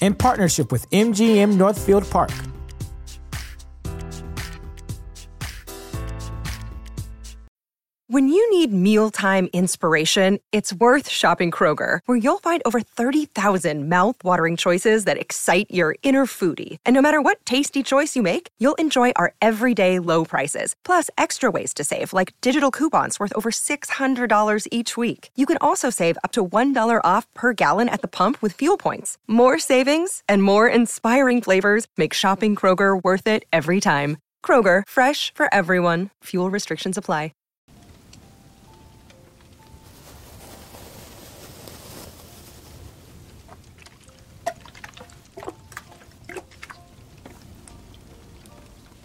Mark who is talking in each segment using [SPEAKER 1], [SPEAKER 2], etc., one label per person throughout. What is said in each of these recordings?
[SPEAKER 1] in partnership with MGM Northfield Park.
[SPEAKER 2] When you need mealtime inspiration, it's worth shopping Kroger, where you'll find over 30,000 mouthwatering choices that excite your inner foodie. And no matter what tasty choice you make, you'll enjoy our everyday low prices, plus extra ways to save, like digital coupons worth over $600 each week. You can also save up to $1 off per gallon at the pump with fuel points. More savings and more inspiring flavors make shopping Kroger worth it every time. Kroger, fresh for everyone. Fuel restrictions apply.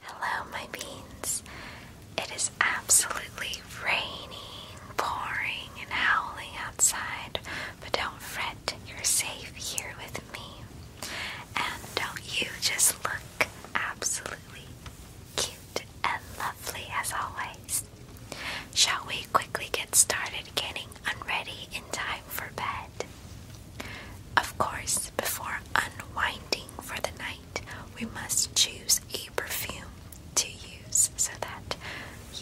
[SPEAKER 3] Hello, my beans. It is absolutely raining, pouring, and howling outside, but don't fret, that you're safe here with me. And don't you just look absolutely cute and lovely as always? Shall we quickly get started getting unready in time for bed? Of course, before unwinding for the night, we must choose a perfume to use so that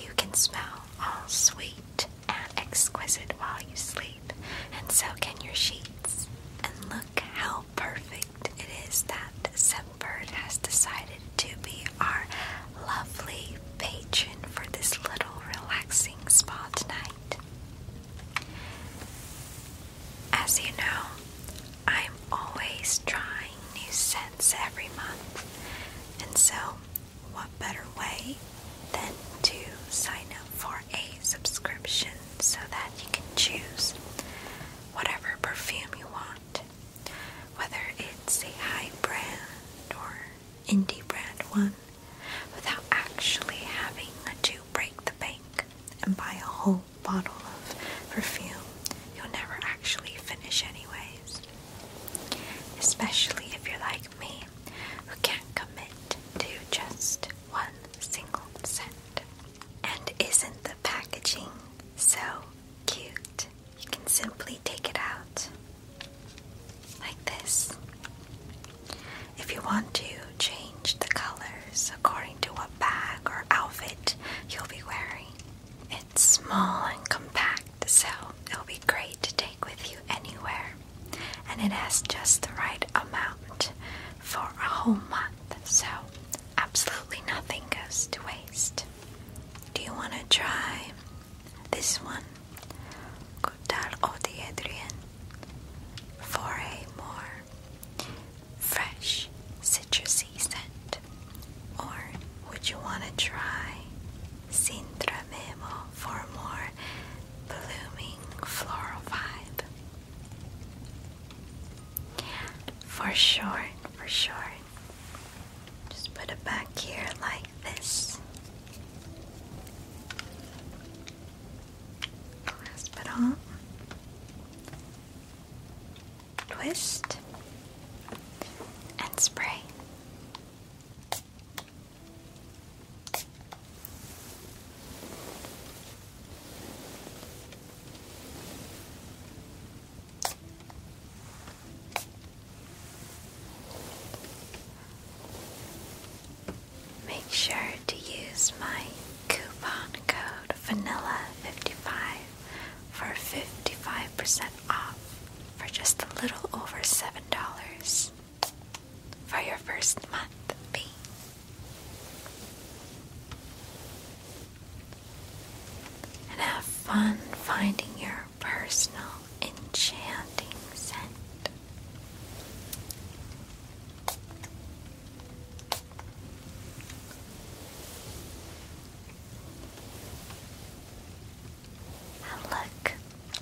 [SPEAKER 3] you can smell all sweet and exquisite while you sleep, and so can your sheets. And look how perfect it is that Sunbird has decided to be our lovely patron for this little relaxing spa tonight. As you know, I'm always trying new scents every month, and so what better way than to sign up for a subscription so that you can choose whatever perfume you want, whether it's a high brand or indie brand one, without actually having to break the bank and buy a whole bottle of perfume you'll never actually finish, anyways. Especially if you're like me who can't commit to just one single scent. And isn't the packaging so cute? You can simply take it out like this. If you want to change the colors according to what bag or outfit you'll be wearing, it's small and compact so it'll be great to take with you anywhere. And it has just the right amount for a whole month, so absolutely nothing goes to waste. Do you want to try this one? Cotar au Adrian for a more fresh citrusy scent. Or would you want to try Sintra Memo for more blooming floral vibe. For sure, for sure. Just put it back here like this. Last but all. Twist and spray. Make sure to use my coupon code VANILLA55 for 55% off for just a little over 7 dollars for your first month fee. And have fun finding your personal enchanting scent. And look,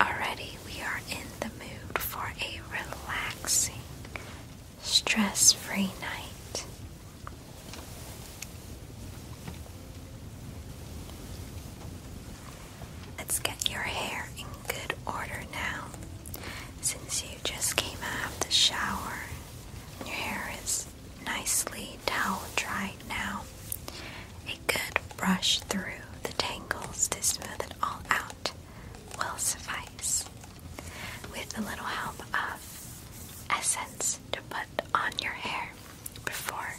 [SPEAKER 3] already we are in the mood for a relaxing, stress free night. Let's get your hair in good order now. Since you just came out of the shower, your hair is nicely towel dried now. A good brush through the tangles to smooth it all out will suffice. With a little help of essence to put on your hair before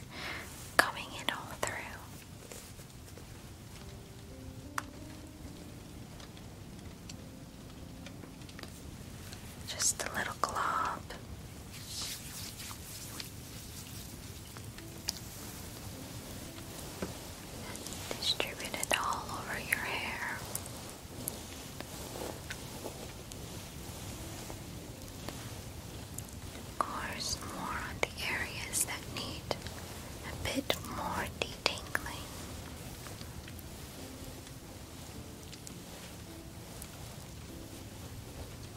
[SPEAKER 3] combing it all through. Just a little glob. And distribute it all over your hair. Of course, more on the areas that need a bit more detangling.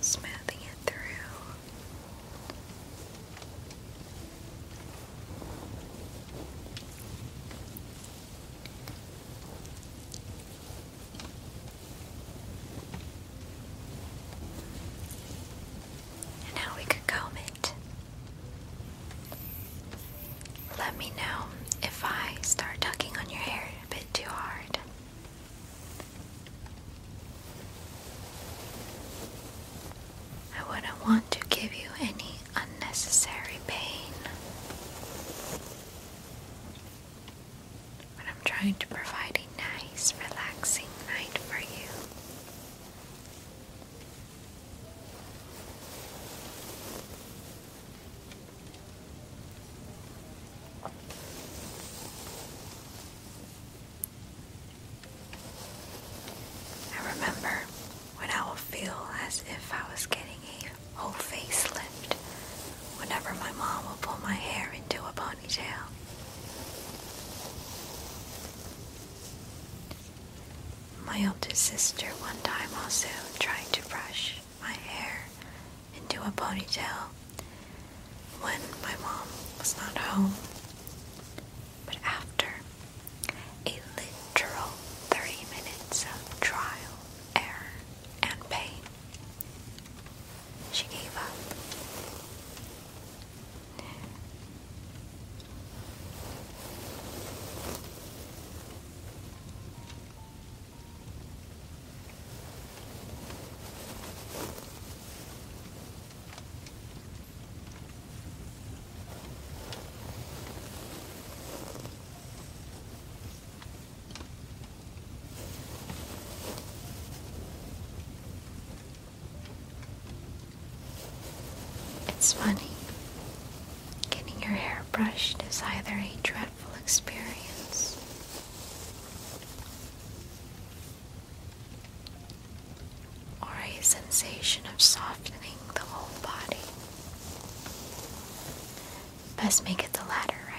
[SPEAKER 3] smoothing it through. now we could comb it. Let me know if I start tugging on your hair a bit too hard. I wouldn't want to give you any unnecessary pain. But I'm trying to provide a nice, relaxing night for you. I remember when I will feel as if I was getting a whole facelift whenever my mom will pull my hair into a ponytail. My oldest sister one time also tried to brush my hair into a ponytail when my mom was not home. But after a literal three minutes of trial, error, and pain, she gave up. It's funny. Getting your hair brushed is either a dreadful experience or a sensation of softening the whole body. Best make it the latter, right?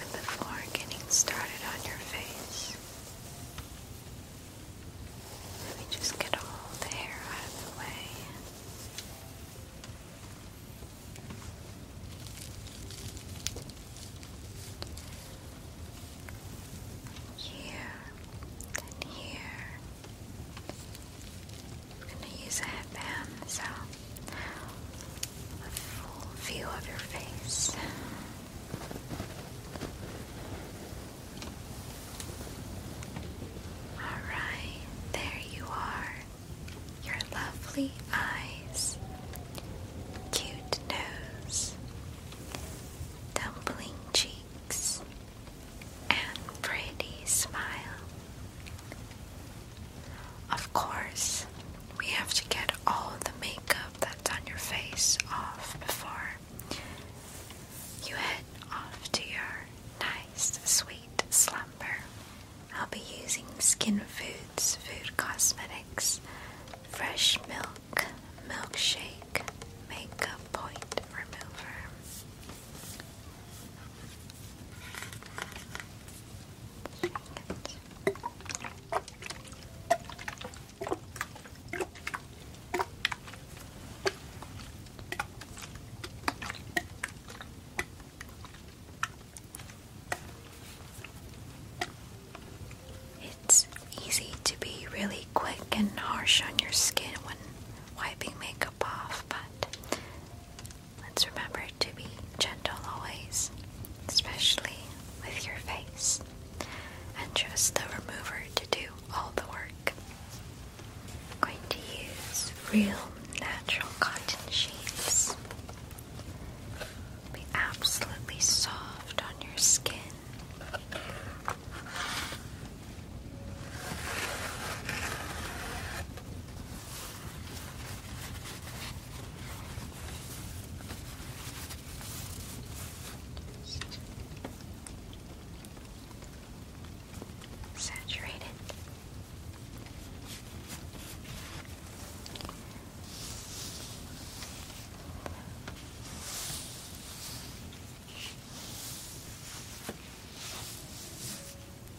[SPEAKER 3] And before getting started on your face, let me just get all the hair out of the way. Here and here. I'm going to use a headband, so a full view of your face. Alright, there you are. Your lovely eyes, cute nose, dumpling cheeks, and pretty smile. Of course, we have to get all the makeup that's on your face off before you head off to your nice, sweet slumber. I'll be using Skin Foods Food Cosmetics Fresh Milk Milkshake Makeup Point Remover. It. It's easy to be really quick and harsh on your skin when wiping makeup off, but Let's remember to be gentle always, especially with your face, and trust the remover to do all the work. I'm going to use real natural cotton sheets. Be absolutely soft on your skin. Saturated.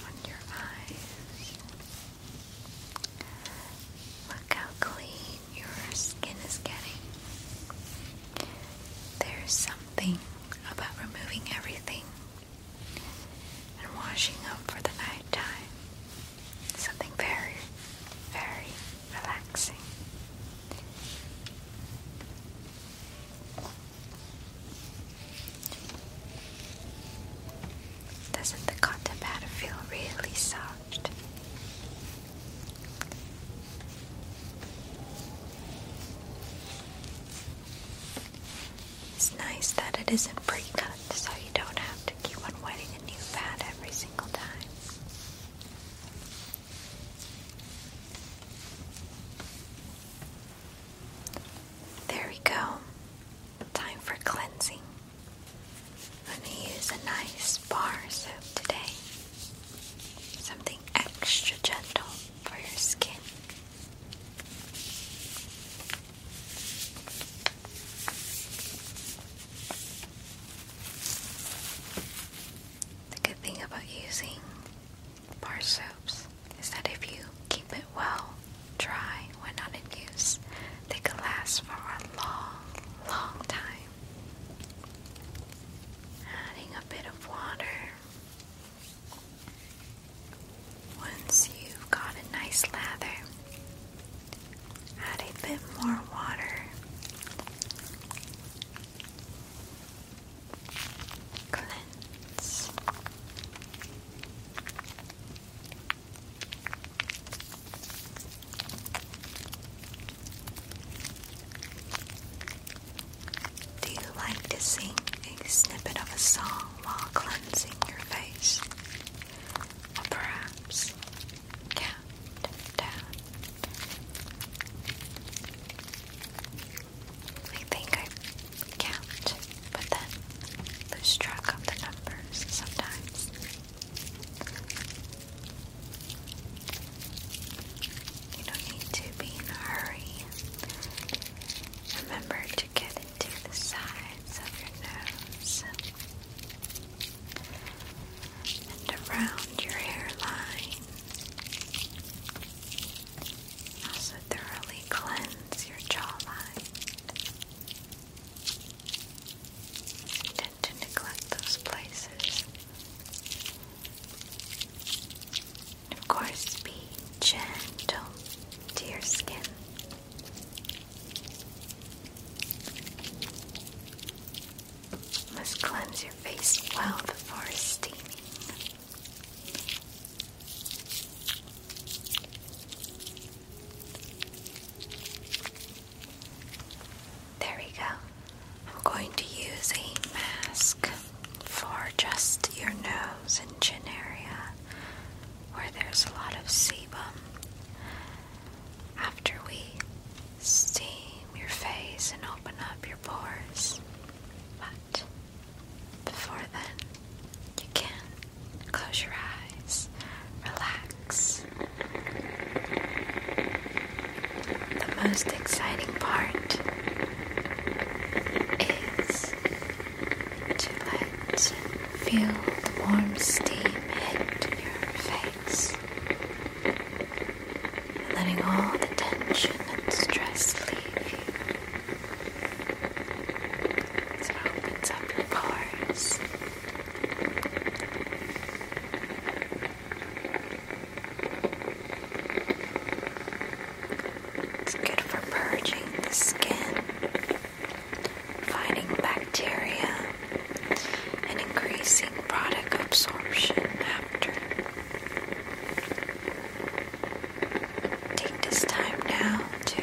[SPEAKER 3] On your eyes. Look how clean your skin is getting. There's something about removing everything and washing up for the night time. Something very, very relaxing. Doesn't the cotton pad feel really soft? It's nice that it isn't pre-cut, so you don't have to keep on wetting a new pad every single time. There we go. Time for cleansing. I'm going to use a nice bar soap today. Something extra gentle for your skin. The good thing about using bar soaps is that if you keep it well dry when not in use, they can last for a long, long time. Adding a bit of water. Once you've got a nice lather, add a bit more water. Cleanse. Do you like to sing a snippet of a song while cleansing your face? Or perhaps count down? I think I count, but then lose track of the numbers sometimes. You don't need to be in a hurry. Remember to get into the sides of your nose and around your hairline. Also, thoroughly cleanse your jawline to neglect those places. Of course, be gentle to your skin. must cleanse your face well before steaming. There we go. I'm going to use a mask for just your nose and chin area where there's a lot of sebum. After we steam your face and open up your pores. But before then, you can Close your eyes, relax. The most exciting part is to let feel the warm steam hit your face, letting all the tension and stress leave you. it opens up your pores. It's good for purging the skin, fighting bacteria, and increasing product absorption after. Take this time now to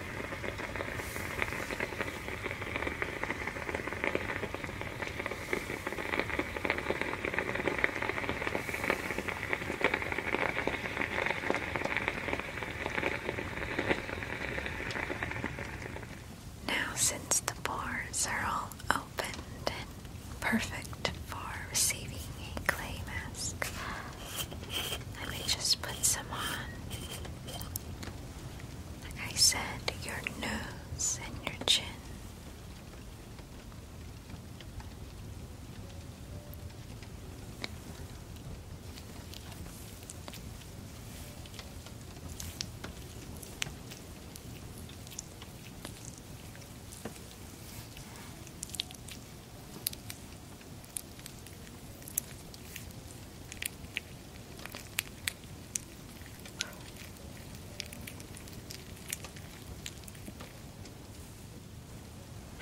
[SPEAKER 3] Now, since the bars are all opened and perfect for receiving a clay mask, let me just put some on. Like I said, your nose and your chin.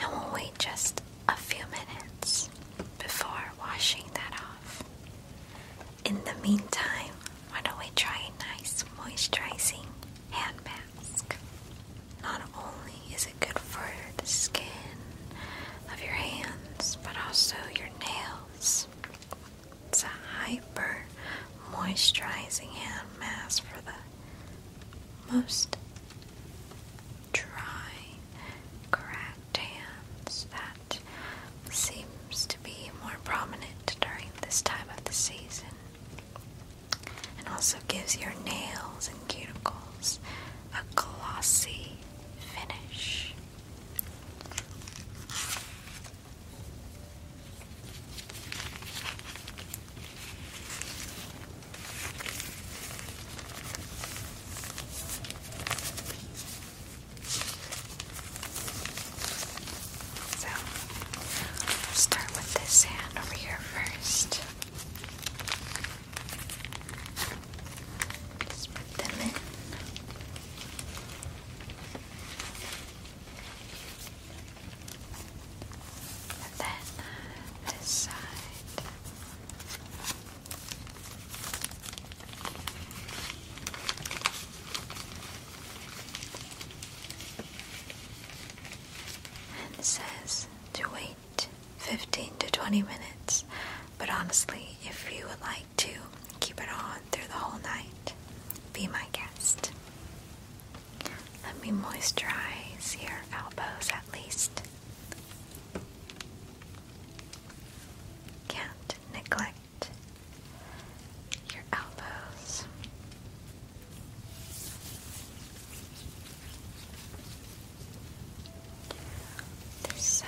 [SPEAKER 3] And we'll wait just a few minutes before washing that off. In the meantime, why don't we try a nice moisturizing hand mask? Not only is good for the skin of your hands, but also your nails. It's a hyper moisturizing hand mask for the most dry, cracked hands that seems to be more prominent during this time of the season. And also gives your nails and cuticles a glossy finish. So, start with this hand over here first. Just put them in. And then this side. And says, Do we 15 to 20 minutes, but honestly, if you would like to keep it on through the whole night, be my guest. Let me moisturize your elbows at least. Can't neglect your elbows. This side.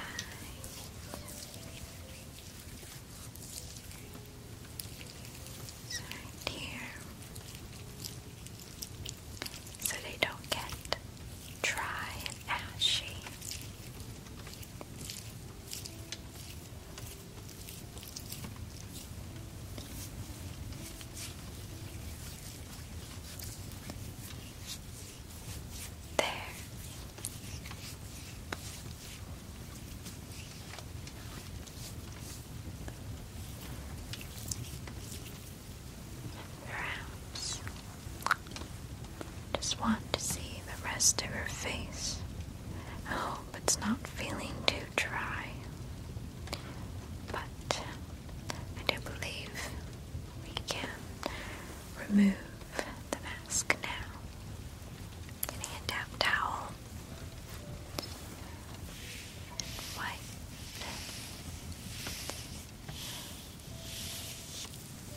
[SPEAKER 3] right here. So they don't get dry and ashy. There. Perhaps just want to see the rest of her face. hope it's not feeling too dry. But I do believe we can remove the mask now. Getting a damp towel.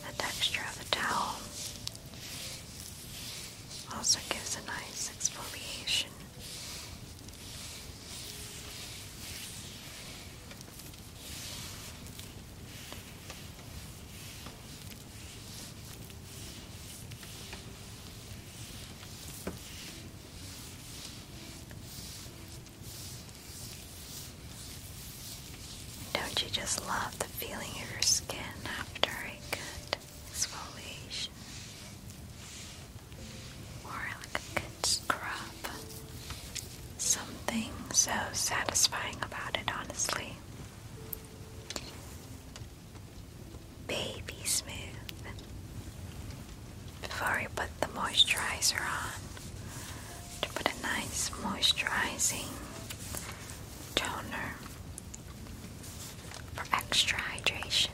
[SPEAKER 3] And The texture of the towel also gives a nice exfoliation. Don't you just love the feeling of your skin after a good exfoliation? Or like a scrub. Something so satisfying about it, honestly. Baby smooth. Before we put the moisturizer on, to put a nice moisturizing toner for extra hydration.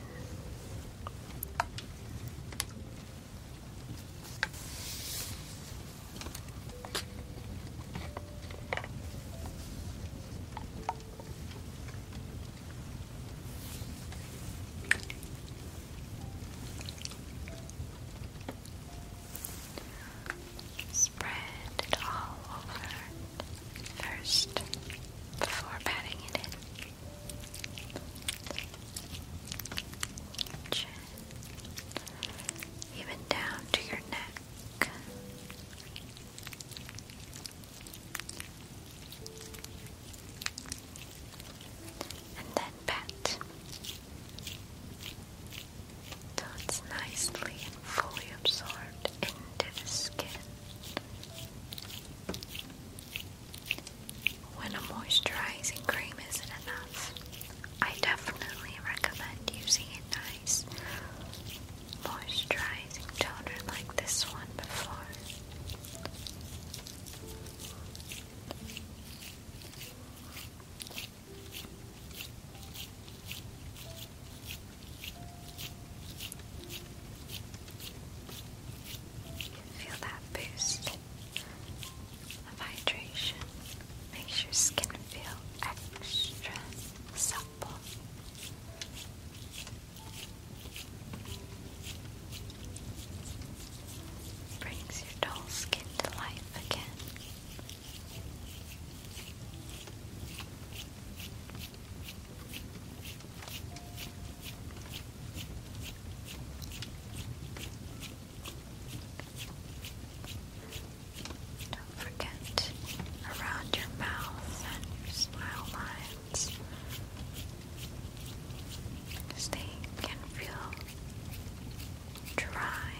[SPEAKER 3] Spread it all over first before patting it in. Gently even down to your neck. And then pat. So it's nicely fully absorbed into the skin. When a moisturizing cream isn't enough, I definitely recommend using a nice moisturizing toner like this one before. Feel that boost hydration makes your skin feel extra supple. brings your dull skin to life again. Don't forget around your mouth and your smile lines because can feel dry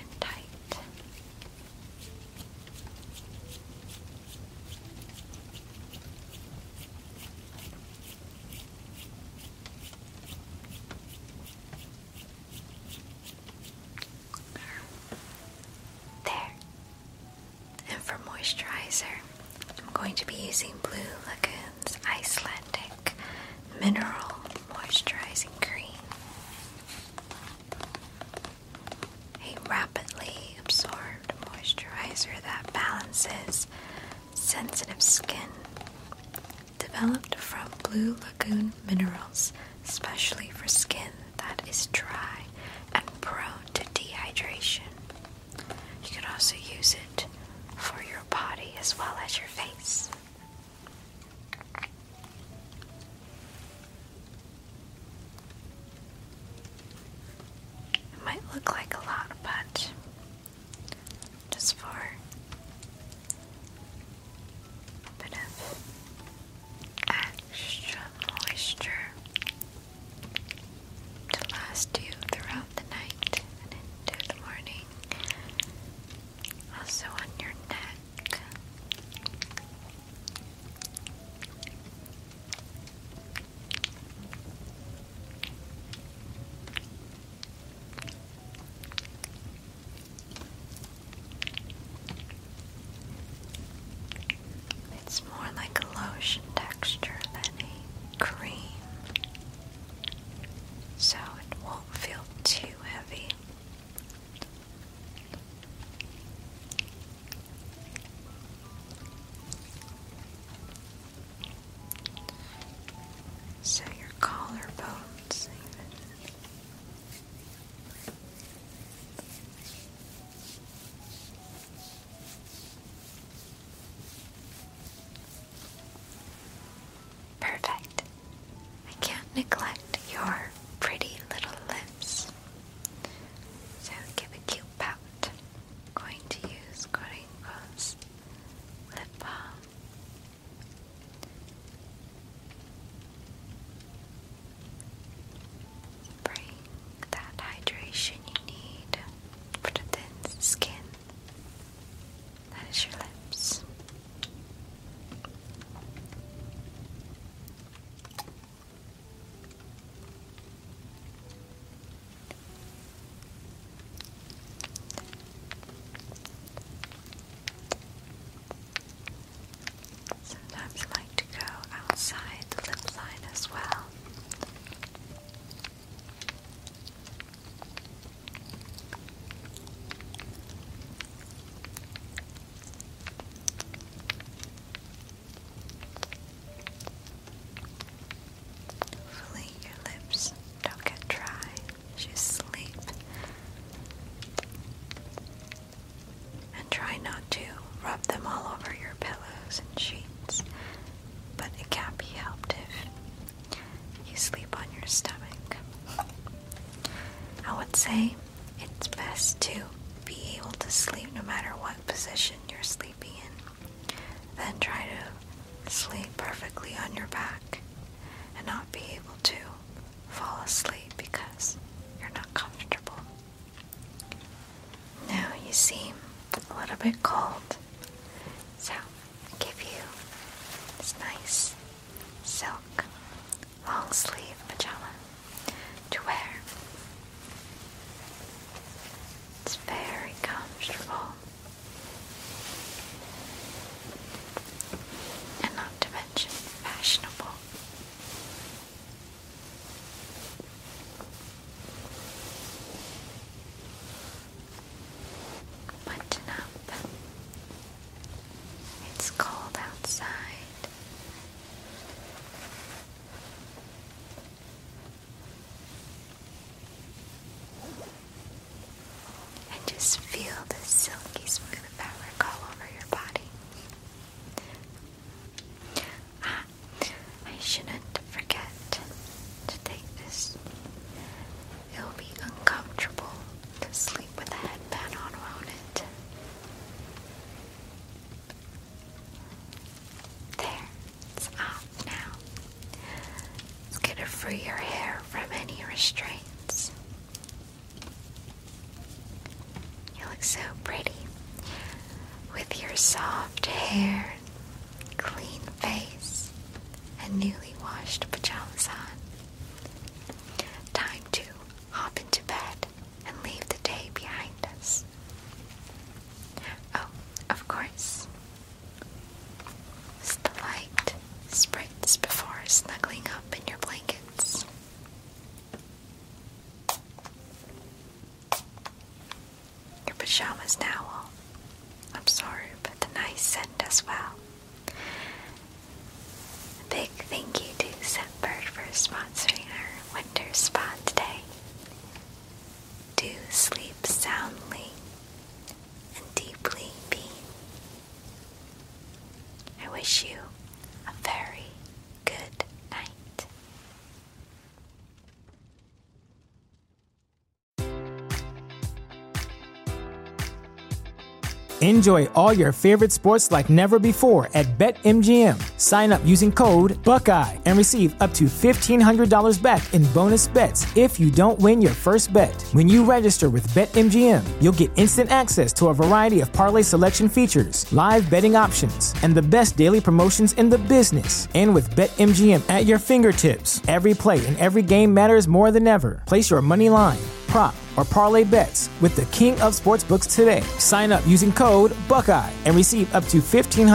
[SPEAKER 3] and tight. There. And for moisturizer, I'm going to be using Blue Lagoon's Icelandic Mineral Moisturizing Cream. A rapidly absorbed moisturizer that balances sensitive skin. Developed from Blue Lagoon minerals, especially for skin that is dry and prone to dehydration. You can also use it for your body as well as your face. might look like a lot, but just for a bit of extra moisture to last you throughout the night and into the morning. Also on your neck. It's more like a lotion texture than a cream, so it won't feel too heavy. So your collarbones Perfect. I can't neglect your pretty little lips. So give a cute pout. going to use Corinco's lip balm. Bring that hydration you need for the thin skin. That is your lips. Sometimes I like to go outside the lip line as well. Hopefully your lips don't get dry as you sleep. And try not to rub them all over your pillows and sheets, but it can't be helped if you sleep on your stomach. I would say it's best to be able to sleep no matter what position you're sleeping in. Then try to sleep perfectly on your back and not be able to fall asleep because you're not comfortable. Now you seem a little bit cold, so I'll give you this nice silk long sleeve pajama to wear. It's very comfortable. And not to mention fashionable. Button up. It's cold outside. And just feel the silky smooth fabric all over your body. Ah, I shouldn't forget to take this. It'll be uncomfortable to sleep with a headband on, around it? There. It's off now. It's gonna free your hair from any restraints. You look so pretty with your soft hair, clean face, and newly washed pajamas on. Time to hop into bed and leave the day behind us. Oh, of course, as the light spreads before snuggling up in your blankets. Your pajamas now will absorb the nice scent as well. big thank you to Scentbird for sponsoring our winter spa today. Do sleep soundly and deeply being. I wish you a very good night.
[SPEAKER 1] Enjoy all your favorite sports like never before at BetMGM. Sign up using code Buckeye and receive up to $1,500 back in bonus bets if you don't win your first bet. When you register with BetMGM, you'll get instant access to a variety of parlay selection features, live betting options, and the best daily promotions in the business. And with BetMGM at your fingertips, every play and every game matters more than ever. Place your money line prop or parlay bets with the king of sportsbooks today. Sign up using code Buckeye and receive up to $1,500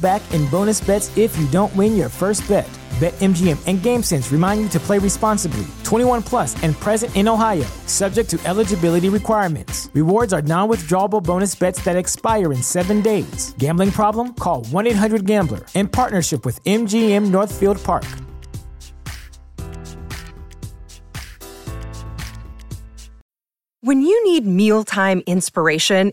[SPEAKER 1] back in bonus bets if you don't win your first bet. BetMGM and GameSense remind you to play responsibly. 21 plus and present in Ohio, subject to eligibility requirements. Rewards are non withdrawable bonus bets that expire in seven days. Gambling problem? Call 1 800 Gambler in partnership with MGM Northfield Park.
[SPEAKER 2] When you need mealtime inspiration,